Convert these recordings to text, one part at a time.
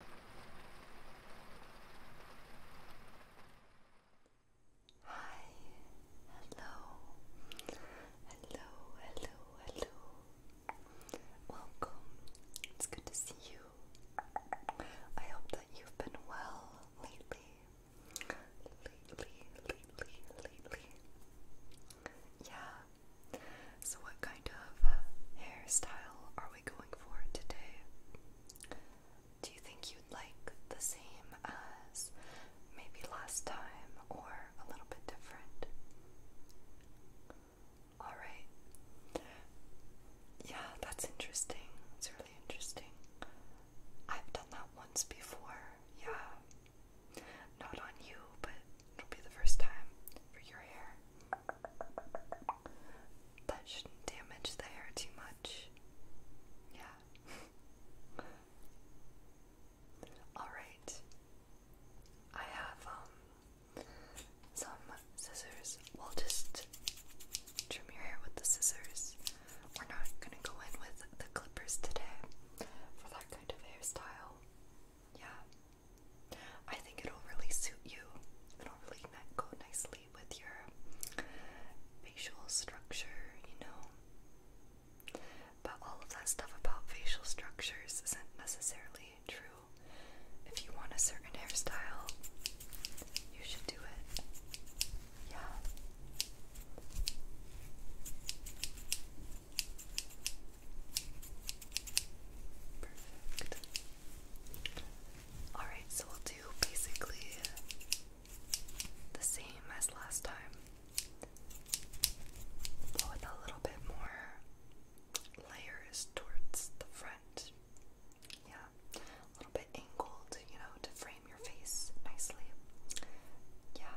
Hi, hello, hello, hello, hello. Welcome. It's good to see you. I hope that you've been well lately. Lately, lately, lately. Yeah, so, what kind of uh, hairstyle are we going for today? Do you think you'd like the same as maybe last time or a little bit different? Alright. Yeah, that's interesting. It's really interesting. I've done that once before. Yeah. Not on you, but it'll be the first time for your hair. That shouldn't damage the hair too much. Yeah. Alright. I have um some scissors. We'll just trim your hair with the scissors. We're not gonna go in with the clippers today for that kind of hairstyle. Yeah. I think it'll really suit you. It'll really go nicely with your facial structure, you know. But all of that stuff about facial structures isn't necessarily true. If you want a certain hairstyle, you should do it. Yeah. Perfect. Alright, so we'll do basically the same as last time, but with a little bit more layers towards the front. Yeah, a little bit angled, you know, to frame your face nicely. Yeah.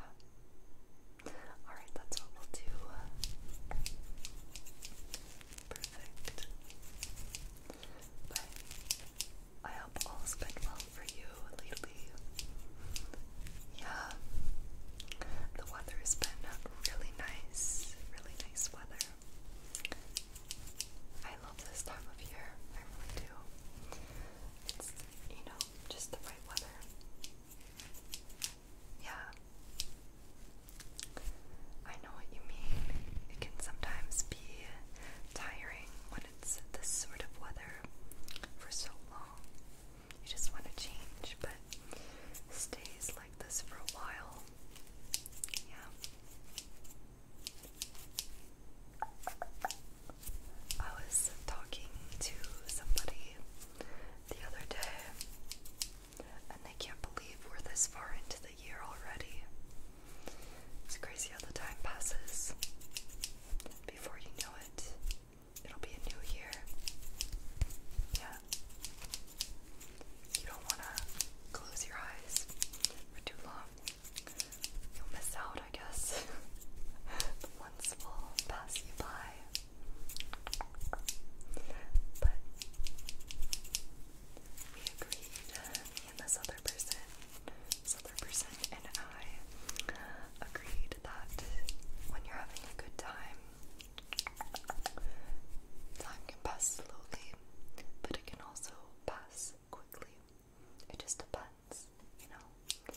Alright, that's what we'll do perfect. But I hope all's been well for you lately. Yeah, the weather has been really nice, really nice weather. I love this time of year, I really do. It's, you know, just the right weather. Yeah. I know what you mean. It can sometimes be tiring when it's this sort of weather for so long. You just want to change, but stays like this for a while. Yeah. I was talking to somebody the other day and they can't believe we're this far into the year already. It's crazy how the time passes. Before you know it, it'll be a new year. Yeah. You don't want to close your eyes for too long. You'll miss out, I guess. the months will pass you by. But we agreed, me and this other person, other person and I agreed that when you're having a good time, time can pass slowly, but it can also pass quickly. It just depends, you know?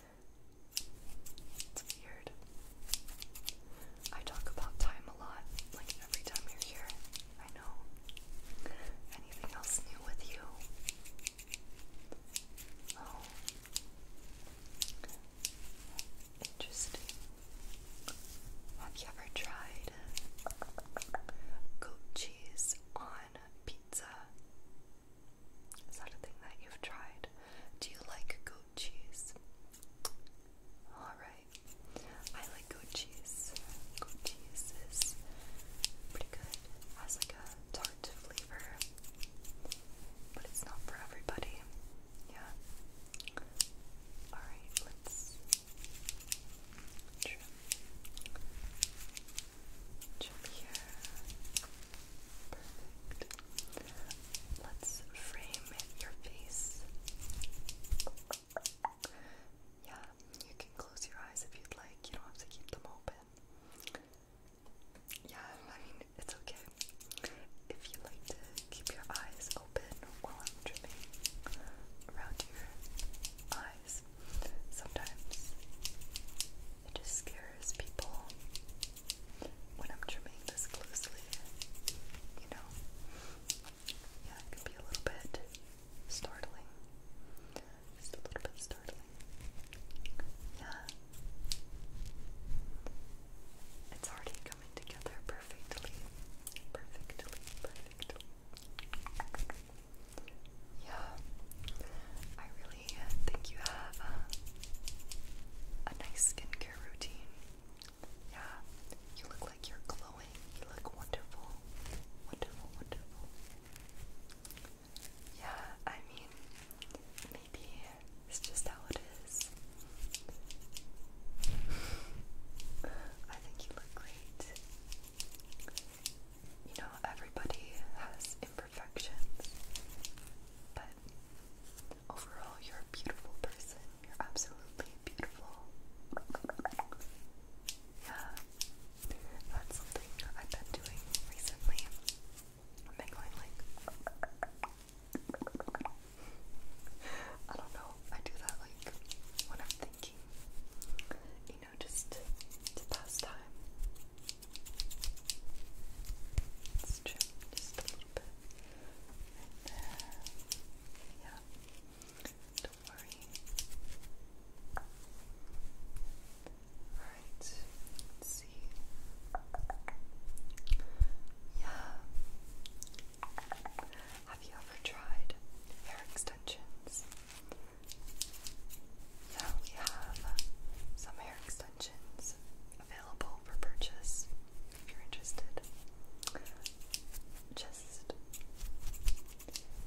It's weird. I talk about time a lot, like every time you're here. I know. Anything else new with you? Oh. Interesting. Have you ever tried goat cheese on pizza? Is that a thing that you've tried? Do you like goat cheese? Alright. I like goat cheese. Goat cheese is pretty good. Has like a tart flavor, but it's not for everybody. Yeah. All right, let's trim, here. Perfect. Let's frame your face. Yeah, you can close your eyes if you'd like. You don't have to keep them open. Yeah, I mean, it's okay. If you like to keep your eyes open while I'm trimming around your eyes, sometimes it just scares people when I'm trimming this closely, you know? yeah, it can be a little bit startling. Just a little bit startling. Yeah. It's already coming together perfectly. Perfectly, perfectly. Yeah. I really think you have a, uh, a nice skincare routine. Yeah, you look like you're glowing. You look wonderful. Wonderful, wonderful. Yeah, I mean, maybe it's just how it is. I think you look great. You know, everybody has imperfections, but Overall, you're a beautiful person. You're absolutely beautiful. Yeah. That's something I've been doing recently. I've been going like I don't know. I do that like when I'm thinking. You know, just to, pass time. It's just a little bit. Right Yeah. Don't worry. Alright, see. Yeah. Have you ever tried hair extensions? Yeah, we have some hair extensions available for purchase if you're interested. Just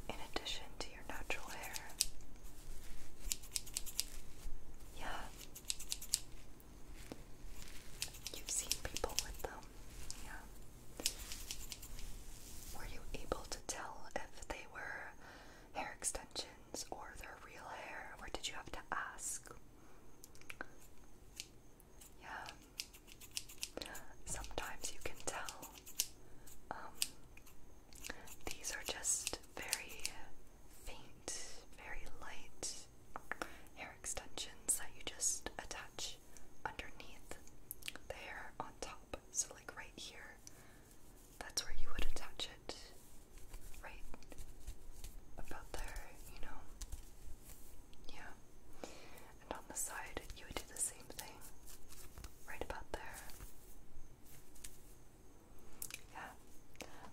in addition to your natural hair. Yeah. You've seen people with them. Yeah. Were you able to tell if they were hair extensions or their real hair, or did you have to ask? Yeah. Sometimes you can tell. Um, these are just very faint, very light hair extensions that you just attach underneath the hair on top. So, like right here, that's where you would attach it. Right about there, you know. Yeah. And on the side, you would do the same thing. Right about there. Yeah.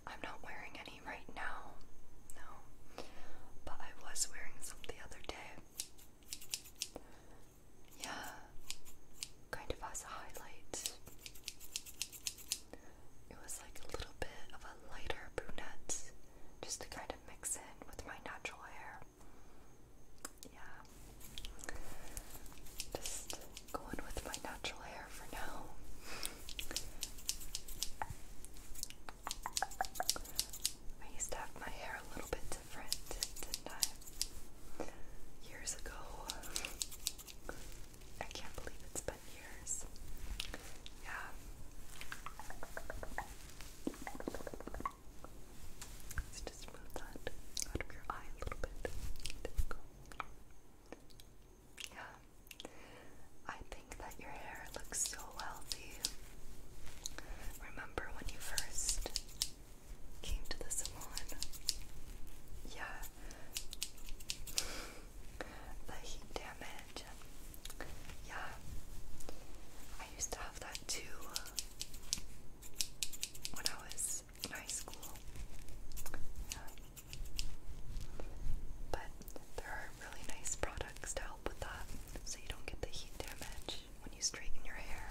I'm not wearing any right now. No. But I was wearing some the other day. Yeah. Kind of as a highlight. It was like a little bit of a lighter brunette just to kind of mix in with my natural hair. Yeah. Just going with my natural hair for now. I used to have my hair a little bit different, did I? Years ago. I can't believe it's been years. Yeah. Let's just move that out of your eye a little bit. Yeah. I think that your hair looks so healthy. Remember when you first came to the salon? Yeah the heat damage. Yeah, I used to have that too when I was in high school. Yeah. But there are really nice products to help with that so you don't get the heat damage when you straighten your hair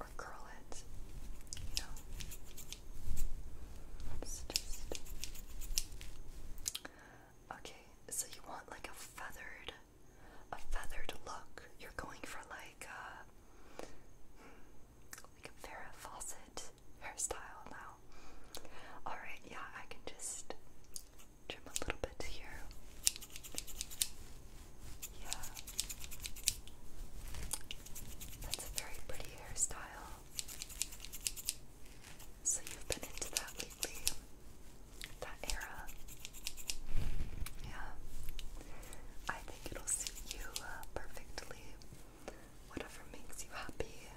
or curl it. You know? It's just. Okay, so you want like a feathered, a feathered look. You're going for like a, uh, hmm, like a Farrah Fawcett hairstyle now. All right, yeah, I can just trim a little bit here. Yeah, that's a very pretty hairstyle. So you've been into that lately, that era. Yeah. I think it'll suit you uh, perfectly. Whatever makes you happy,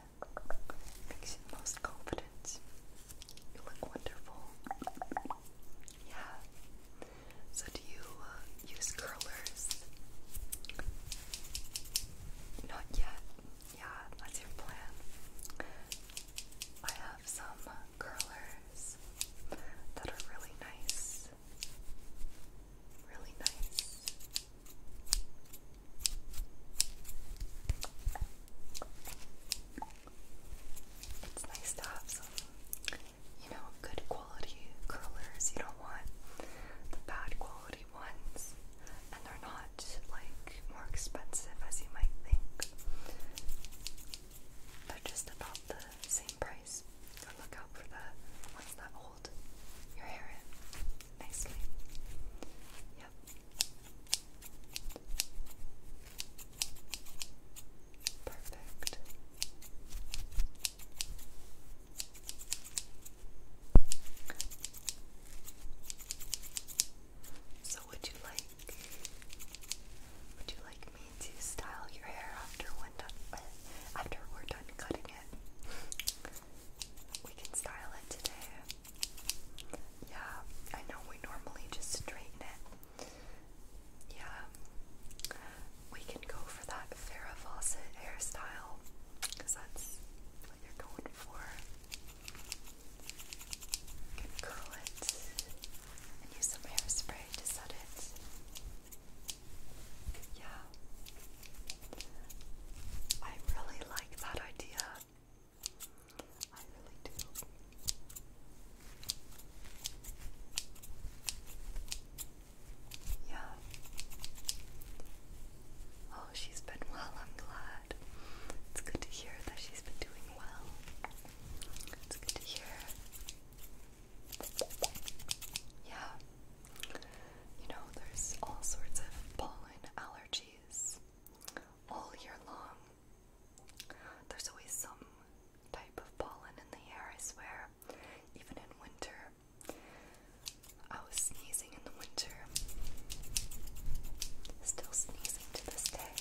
makes you most confident. You look wonderful. Yeah. So do you uh, use curlers? Not yet yeah, that's your plan. I have some curlers that are really nice. Really nice. It's nice to have some, you know, good quality curlers. You don't want the bad quality ones and they're not like more expensive as you might think. They're just about the same price. So look out for the ones that hold your hair in nicely. Yep. Perfect. So, would you like would you like me to style your hair after when done, after we're done cutting it? We can style it today. Yeah, I know we normally just straighten it. Yeah, we can go for that Vera Fawcett hairstyle because that's what you're going for. You can curl it and use some hairspray to set it. Yeah. I really like that idea. I really do. Yeah. She's been well, I'm glad. It's good to hear that she's been doing well. It's good to hear. Yeah. You know, there's all sorts of pollen allergies all year long. There's always some type of pollen in the air, I swear, even in winter. I was sneezing in the winter. Still sneezing to this day.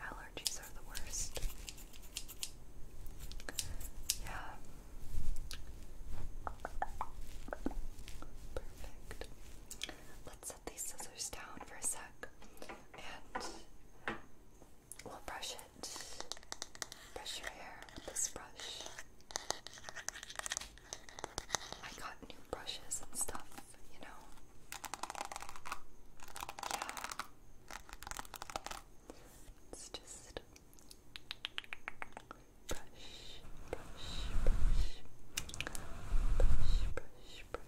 Allergies are the worst. Yeah. Perfect. Let's set these scissors down for a sec and we'll brush it. Brush your hair with this brush. I got new brushes and stuff, you know. Yeah. It's just brush, brush, brush, brush, brush, brush.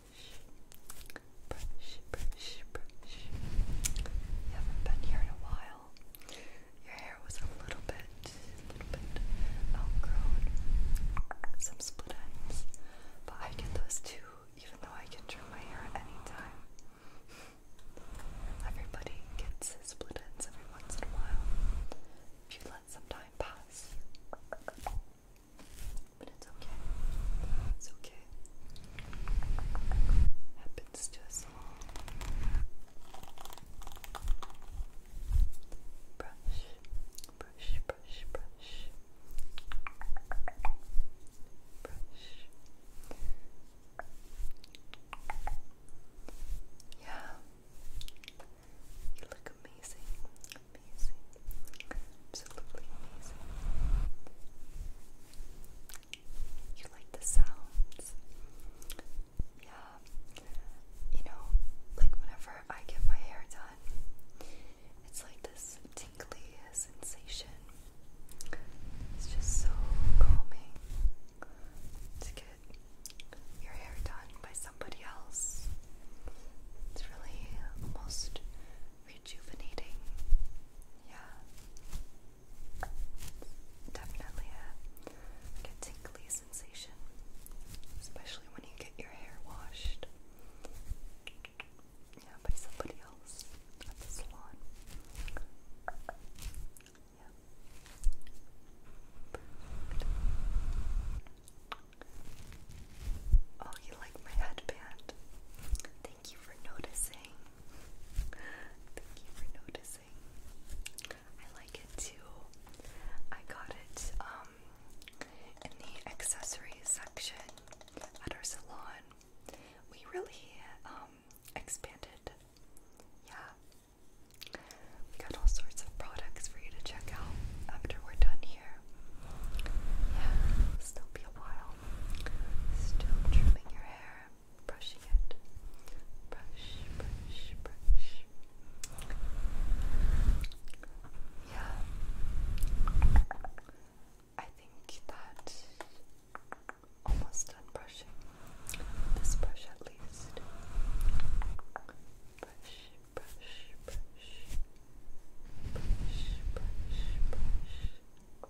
Brush, brush, brush. You haven't been here in a while. Your hair was a little bit, little bit outgrown, oh, some split ends, but I get those too, even though I can trim my hair at any time. Everybody gets split ends every once in a while if you let some time pass. But it's okay. It's okay let's do a small brush, brush, brush, brush, brush. Yeah, you look amazing, amazing, absolutely amazing. You like the sounds yeah, you know, like whenever I get my hair done, it's like this tingly sensation. It's just so calming to get your hair done by somebody else. It's really almost rejuvenating. Yeah definitely a, like sensation, especially when you get your hair washed, you by somebody else at the salon. Yeah. Oh, you like my headband? Thank you for noticing. Thank you for noticing. I like it too. I got it um, in the accessories section at our salon. We really um, expanded. Yeah. We got all sorts of products for you to check out after we're done here. Yeah, still be a while. Still trimming your hair brushing it. Brush, brush, brush. Yeah. I think that almost done brushing. This brush at least. Brush, brush, brush. Brush, brush, brush. Brush, brush, brush.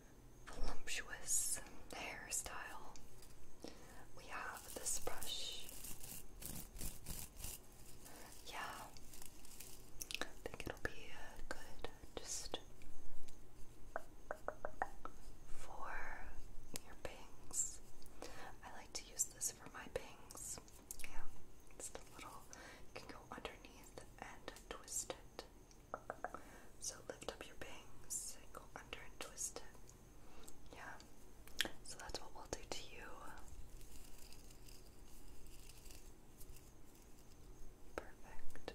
voluptuous hairstyle. We have this brush. Yeah, I think it'll be uh, good just for your bangs. I like to use this for my bangs. Yeah, it's the little, you can go underneath and twist it. So lift up your bangs go under and twist it. Yeah. So that's what we'll do to you. Perfect.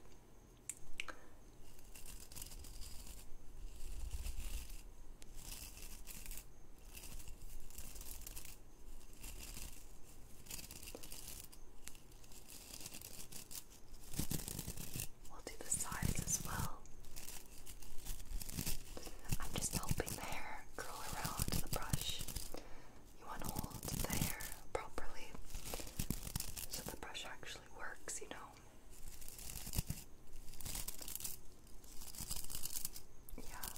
We'll do the sides as well. I'm just helping the hair curl around the brush. You want to hold the hair properly so the brush actually works, you know. Yeah.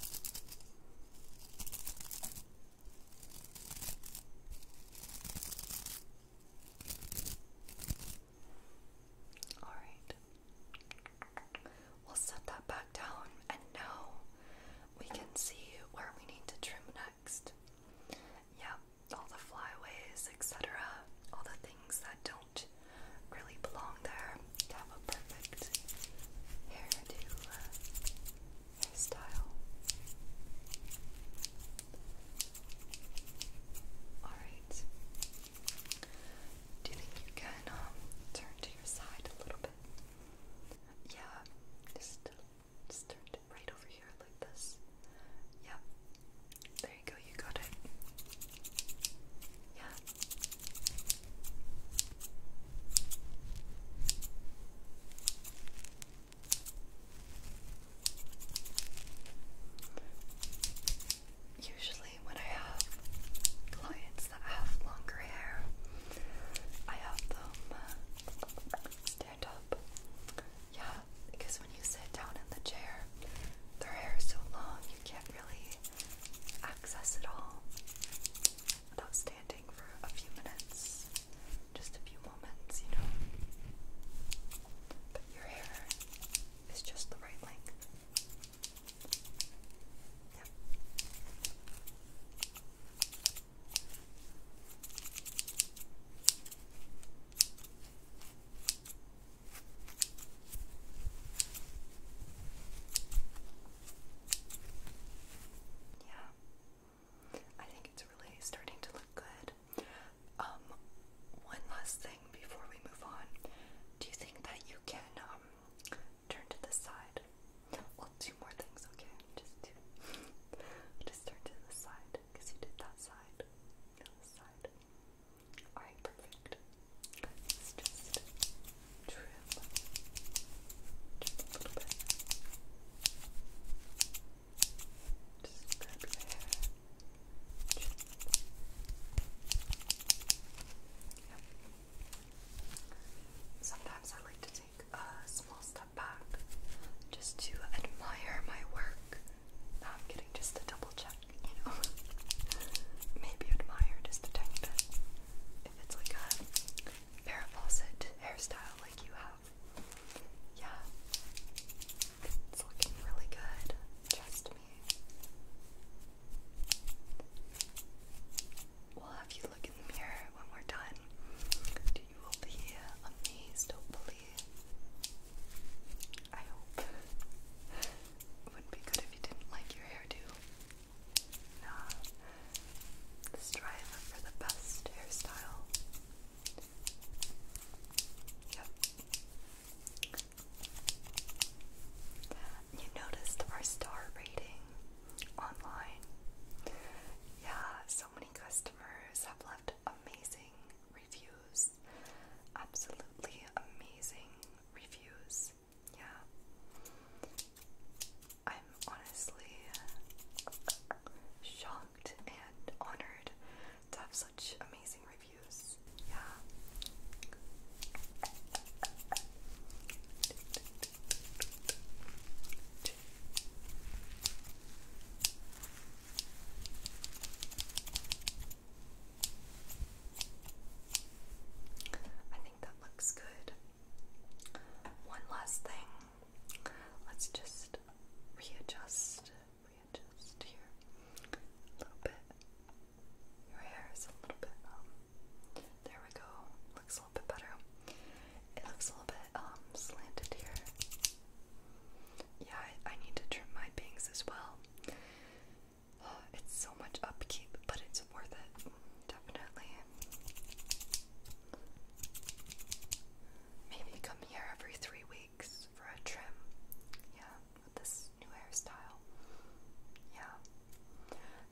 Alright. We'll set that back down, and now we can see where we need to trim next. Yep, all the flyaways, etc., all the things that don't really belong there have a perfect hairdo uh, hairstyle. Alright. Do you think you can um, turn to your side a little bit? Yeah, just, just turn it right over here like this. Yep. There you go, you got it. Yeah. Usually, when I have clients that have longer hair, I have them uh, stand up. Yeah, because when you sit down in the chair, their hair is so long you can't really access it all without standing for a few minutes just a few moments, you know. But your hair is just the right length. Yeah. I think it's really starting to look good. Um, one last thing before we move on. Do you think that you can um turn to the side? Well, two more things, okay? Just two. Just turn to the side because you did that side. The side. All right, perfect. Let's just trim a little bit. Sometimes I like to take a small step back just to admire my work. I'm getting just a double check, you know. Maybe admire just a tiny bit. If it's like a Farrah hairstyle like you have, yeah, it's looking really good. Trust me. We'll have you look in the mirror when we're done. And you will be amazed, hopefully. I hope. It wouldn't be good if you didn't like your hairdo. Nah. Strive for the best hairstyle. You noticed our star rating online. Yeah, so many customers have left amazing reviews. Absolutely amazing reviews. Yeah. I'm honestly shocked honored to have such amazing reviews. Yeah. I think that looks good. One last thing let's just readjust, readjust here a little bit. Your hair is a little bit, um, there we go, looks a little bit better. It looks a little bit, um, slanted here. Yeah, I, need to trim my bangs as well. Uh, it's so much upkeep, but it's worth it, definitely. Maybe come here every three weeks for a trim. Yeah, with this new hairstyle. Yeah.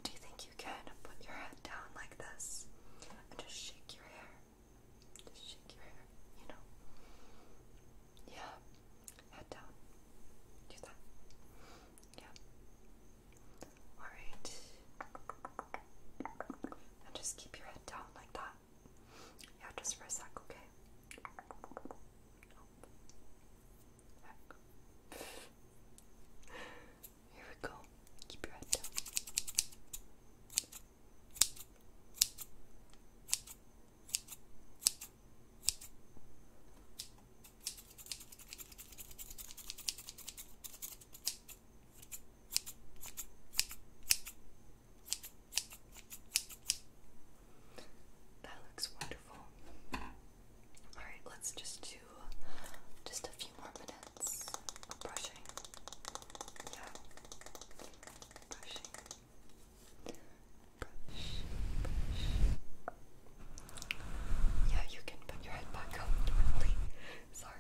Do you think you can put your head down like this and just shake your hair? shake your hair, you know? Yeah. Head down. Do that. Yeah. Alright. And just keep your head down like that. Yeah, just for a sec, okay? Here we go. Keep your head down. Okay. That looks wonderful. Alright, let's just do just a few more minutes of brushing. Yeah. Brushing. Brush. Yeah, you can put your head back up Sorry,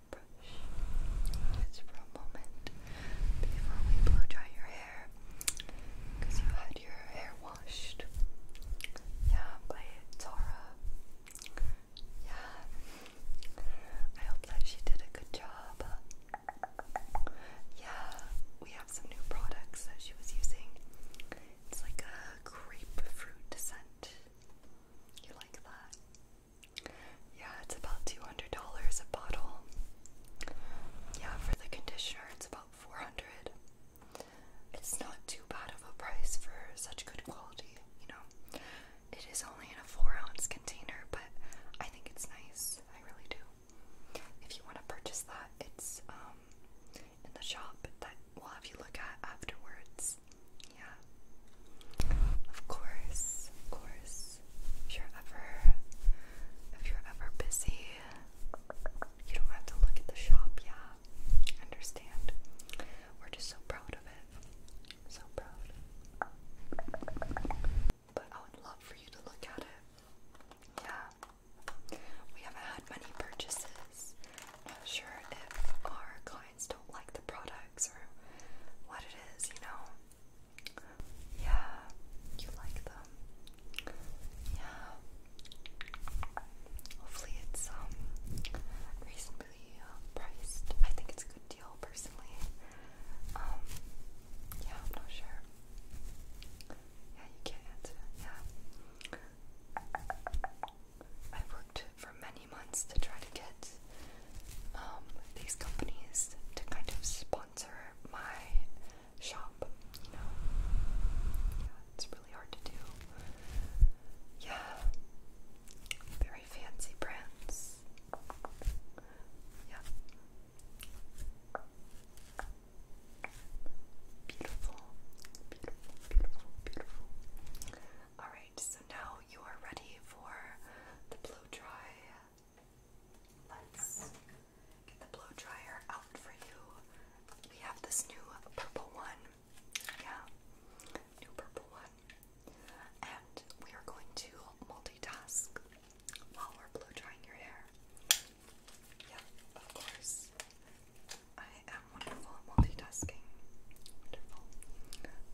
just for a moment before we blow dry your hair because you had your hair washed. Yeah, by Zara. Yeah. I hope that she did a good job. Yeah, we have some new products that she was using. It's like a grapefruit scent. You like that? Yeah, it's about $200 a bottle. Yeah, for the conditioner, it's about 400 It's not too bad of a price for such good quality, you know. It is only in a 4 ounce container, but I think it's nice. I really do. If you want to purchase that, it's um in the shop that we'll have you look at afterwards. Yeah. Of course, of course. If you're ever if you're ever busy, you don't have to look at the shop, yeah. Understand. We're just so proud of it. So proud. But I would love for you to look at it. Yeah. We haven't had many purchases. Not sure if our don't like the products or what it is, you know. Yeah, you like them. Yeah. Hopefully it's um, reasonably uh, priced. I think it's a good deal personally. Um, yeah, I'm not sure. Yeah, you can't answer. Yeah for many months to try to get um, these companies to kind of sponsor my shop, you know. Yeah, it's really hard to do. Yeah, very fancy brands. Yeah. Beautiful, beautiful, beautiful, beautiful. All right so now you are ready for the blow dry. Let's get the blow dryer out for you. We have this new purple one. Yeah, new purple one. And we are going to multitask while we're blow drying your hair. Yeah, of course. I am wonderful multitasking.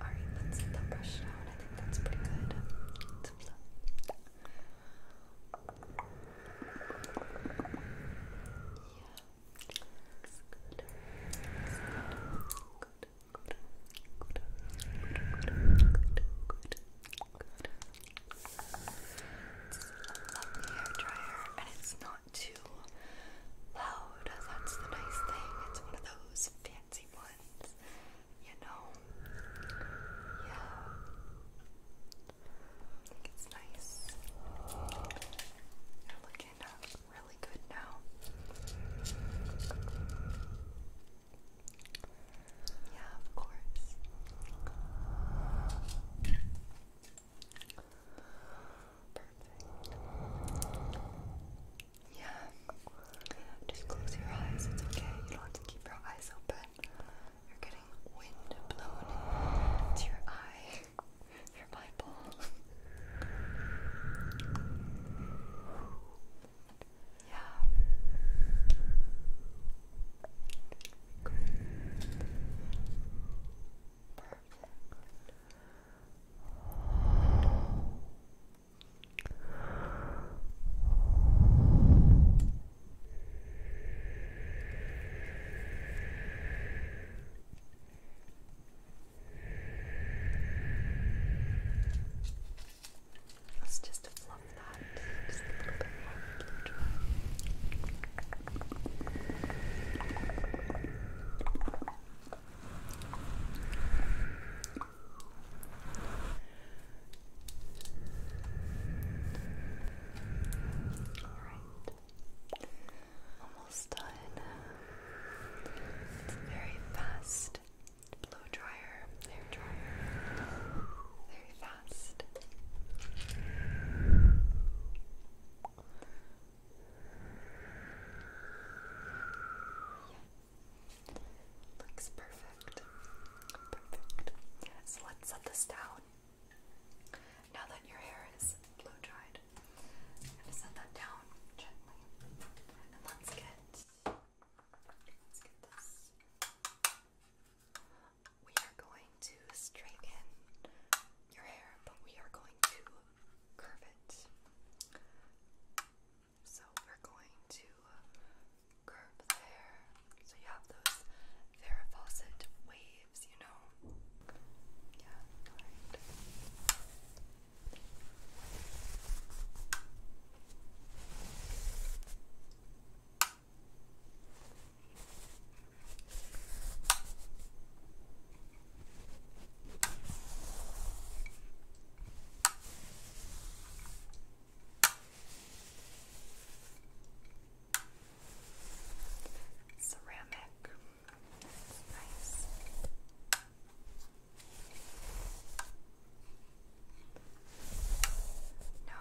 Alright, let's let that brush down. I think that's pretty good. Let's flow. Yeah. Looks good. Looks good. Good. Good. Good. Good. Good. Good. Good. It's a lovely hair dryer and it's not too loud. That's the nice thing. It's one of those fancy ones, you know? I think it's nice. They're looking really good now. Yeah, of course. Perfect. Yeah. Just close your eyes. It's okay. You don't have to keep your eyes open. You're getting wind blown to your eye, your eyeball. yeah. Perfect. Let's just fluff that just a little bit more. Alright. Almost done. very fast blow dryer, hair dryer. Very fast. Looks perfect. Perfect. So let's set this down. Now that your hair is blow dried, I'm gonna set that down gently. And let's let's get this. We are going to straighten your hair, but we are going to curve it. So we're going to uh, curve there. So you have those Farrah Fawcett waves, you know? Yeah, alright. Okay. Ceramic. That's nice. No,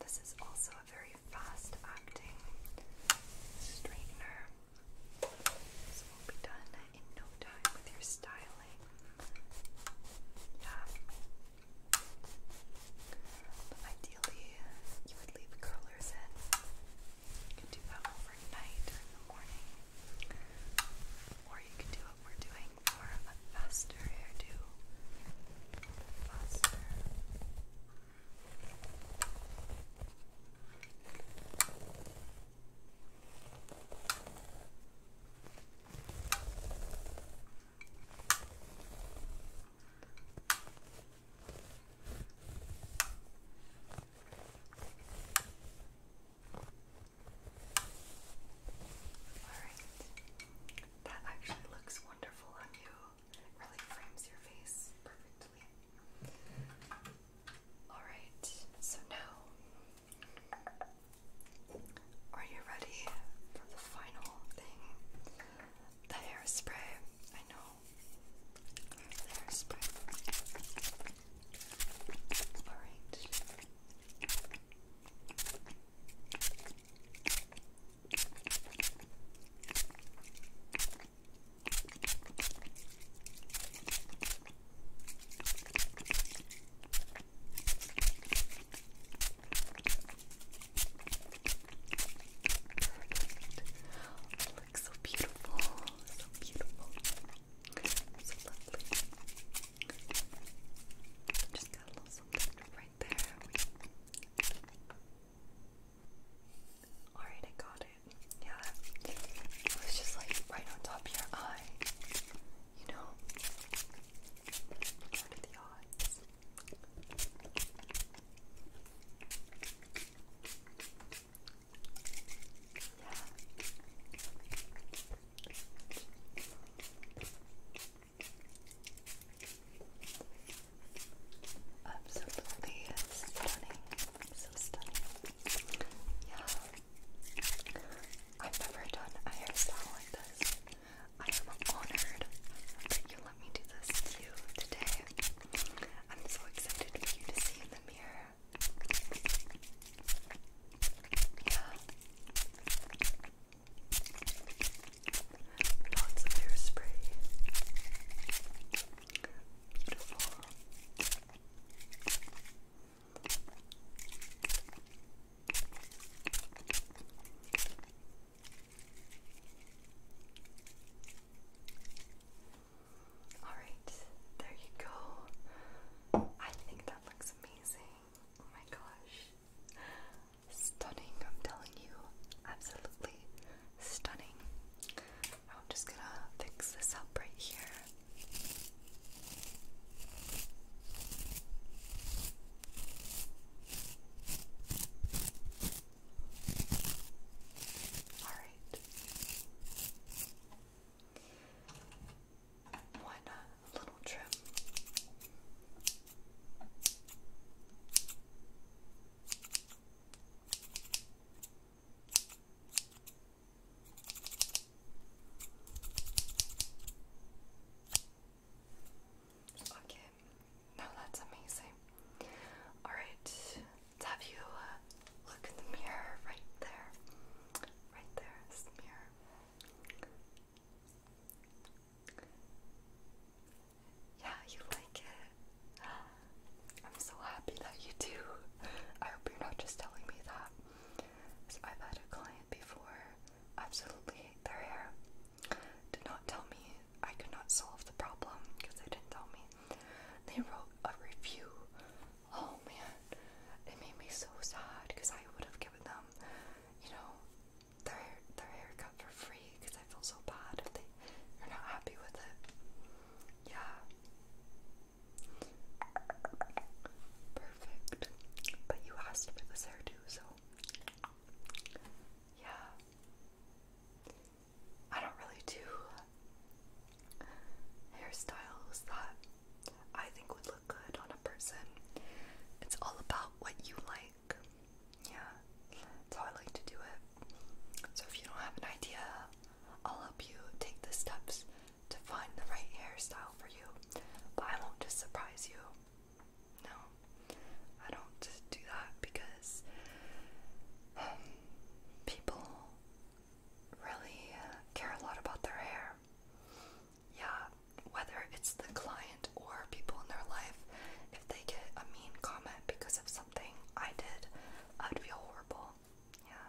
this is also a very fast acting straightener. This will be done in no time with your styling. But ideally, you would leave curlers in. You can do that overnight or in the morning. Or you can do what we're doing for a faster hairdo. Alright. That actually looks wonderful on you. really frames your face perfectly. Alright, so now are you ready for the final thing? The hairspray. I know. hairspray. Alright. Perfect. Looks so beautiful. So beautiful. So lovely. Just got a little something right there. Alright, I got it. Yeah. It was just like right on top of your eye. You know? What are the odds? Yeah. Absolutely stunning. So stunning. Yeah. I've never done a hairstyle like this. I am honored that you let me do this to you today. I'm so excited for you to see in the mirror. Yeah. Lots of hairspray. Beautiful. Alright, there you go. I think that looks amazing. Oh my gosh. Stunning, I'm telling you. Absolutely stunning. I'm just gonna fix this up right here. All right. One uh, little trim. Okay, now that's amazing. Alright, let's have you uh, look in the mirror right there. Right there is the mirror. Yeah, you like it. I'm so happy that you do. I hope you're not just telling me that. I've had a client before absolutely hate their hair. Did not tell me I could not solve the problem because they didn't tell me. They wrote a review. Oh man, it made me so sad because I would have given them, you know, their their haircut for free because I feel so bad if they are not happy with it. Yeah. Perfect. But you asked for this hairdo, so. Yeah. I don't really do hairstyles that I think would look good on a person. It's all about what you like. Yeah, that's how I like to do it. So if you don't have an idea I'll help you take the steps to find the right hairstyle for you, but I won't just surprise you. No, I don't do that because um, people really uh, care a lot about their hair. Yeah, whether it's the client or people in their life, if they get a mean comment because of something I did, I'd feel horrible. Yeah.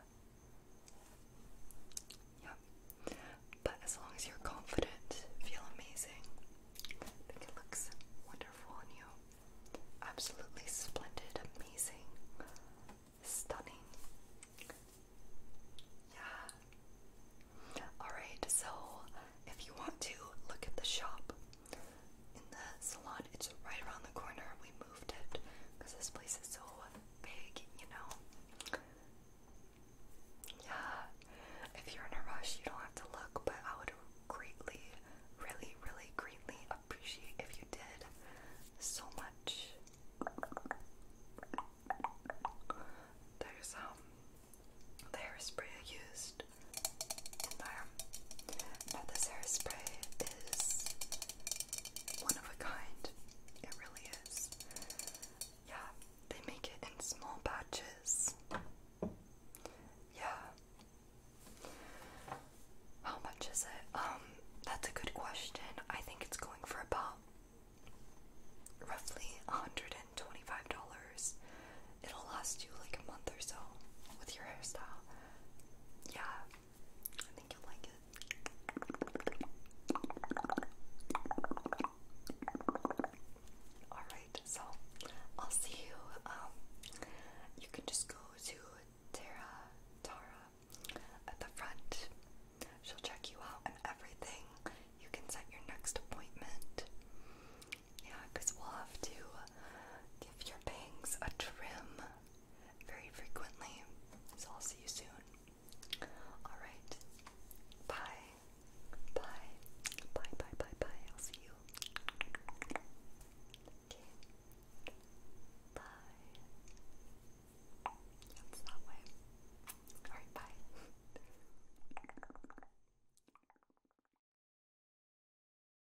Yep. But as long as you're confident, feel amazing. I think it looks wonderful on you. Absolutely splendid, amazing, stunning. Yeah. Alright, so if you want to look at the shop, in the salon. It's right around the corner. We moved it because this place is so big, you know. Yeah, if you're in a rush, you don't have to look, but I would greatly, really, really greatly appreciate if you did so much. There's um the hairspray I used there. That this hairspray is one of a kind. It really is. Yeah, they make it in small batches. Yeah. How much is it? Um, that's a good question. I think it's going for about roughly $125. It'll last you like a month or so with your hairstyle yeah, I think you'll like it. Alright, so I'll see you. Um, you can just go to Tara, Tara at the front. She'll check you out and everything. You can set your next appointment. Yeah, because we'll have to give your bangs a trim very frequently. So I'll see you soon. Alright. Bye. Bye. Bye, bye, bye, bye. I'll see you. Okay. Bye. It's that way. Alright, bye.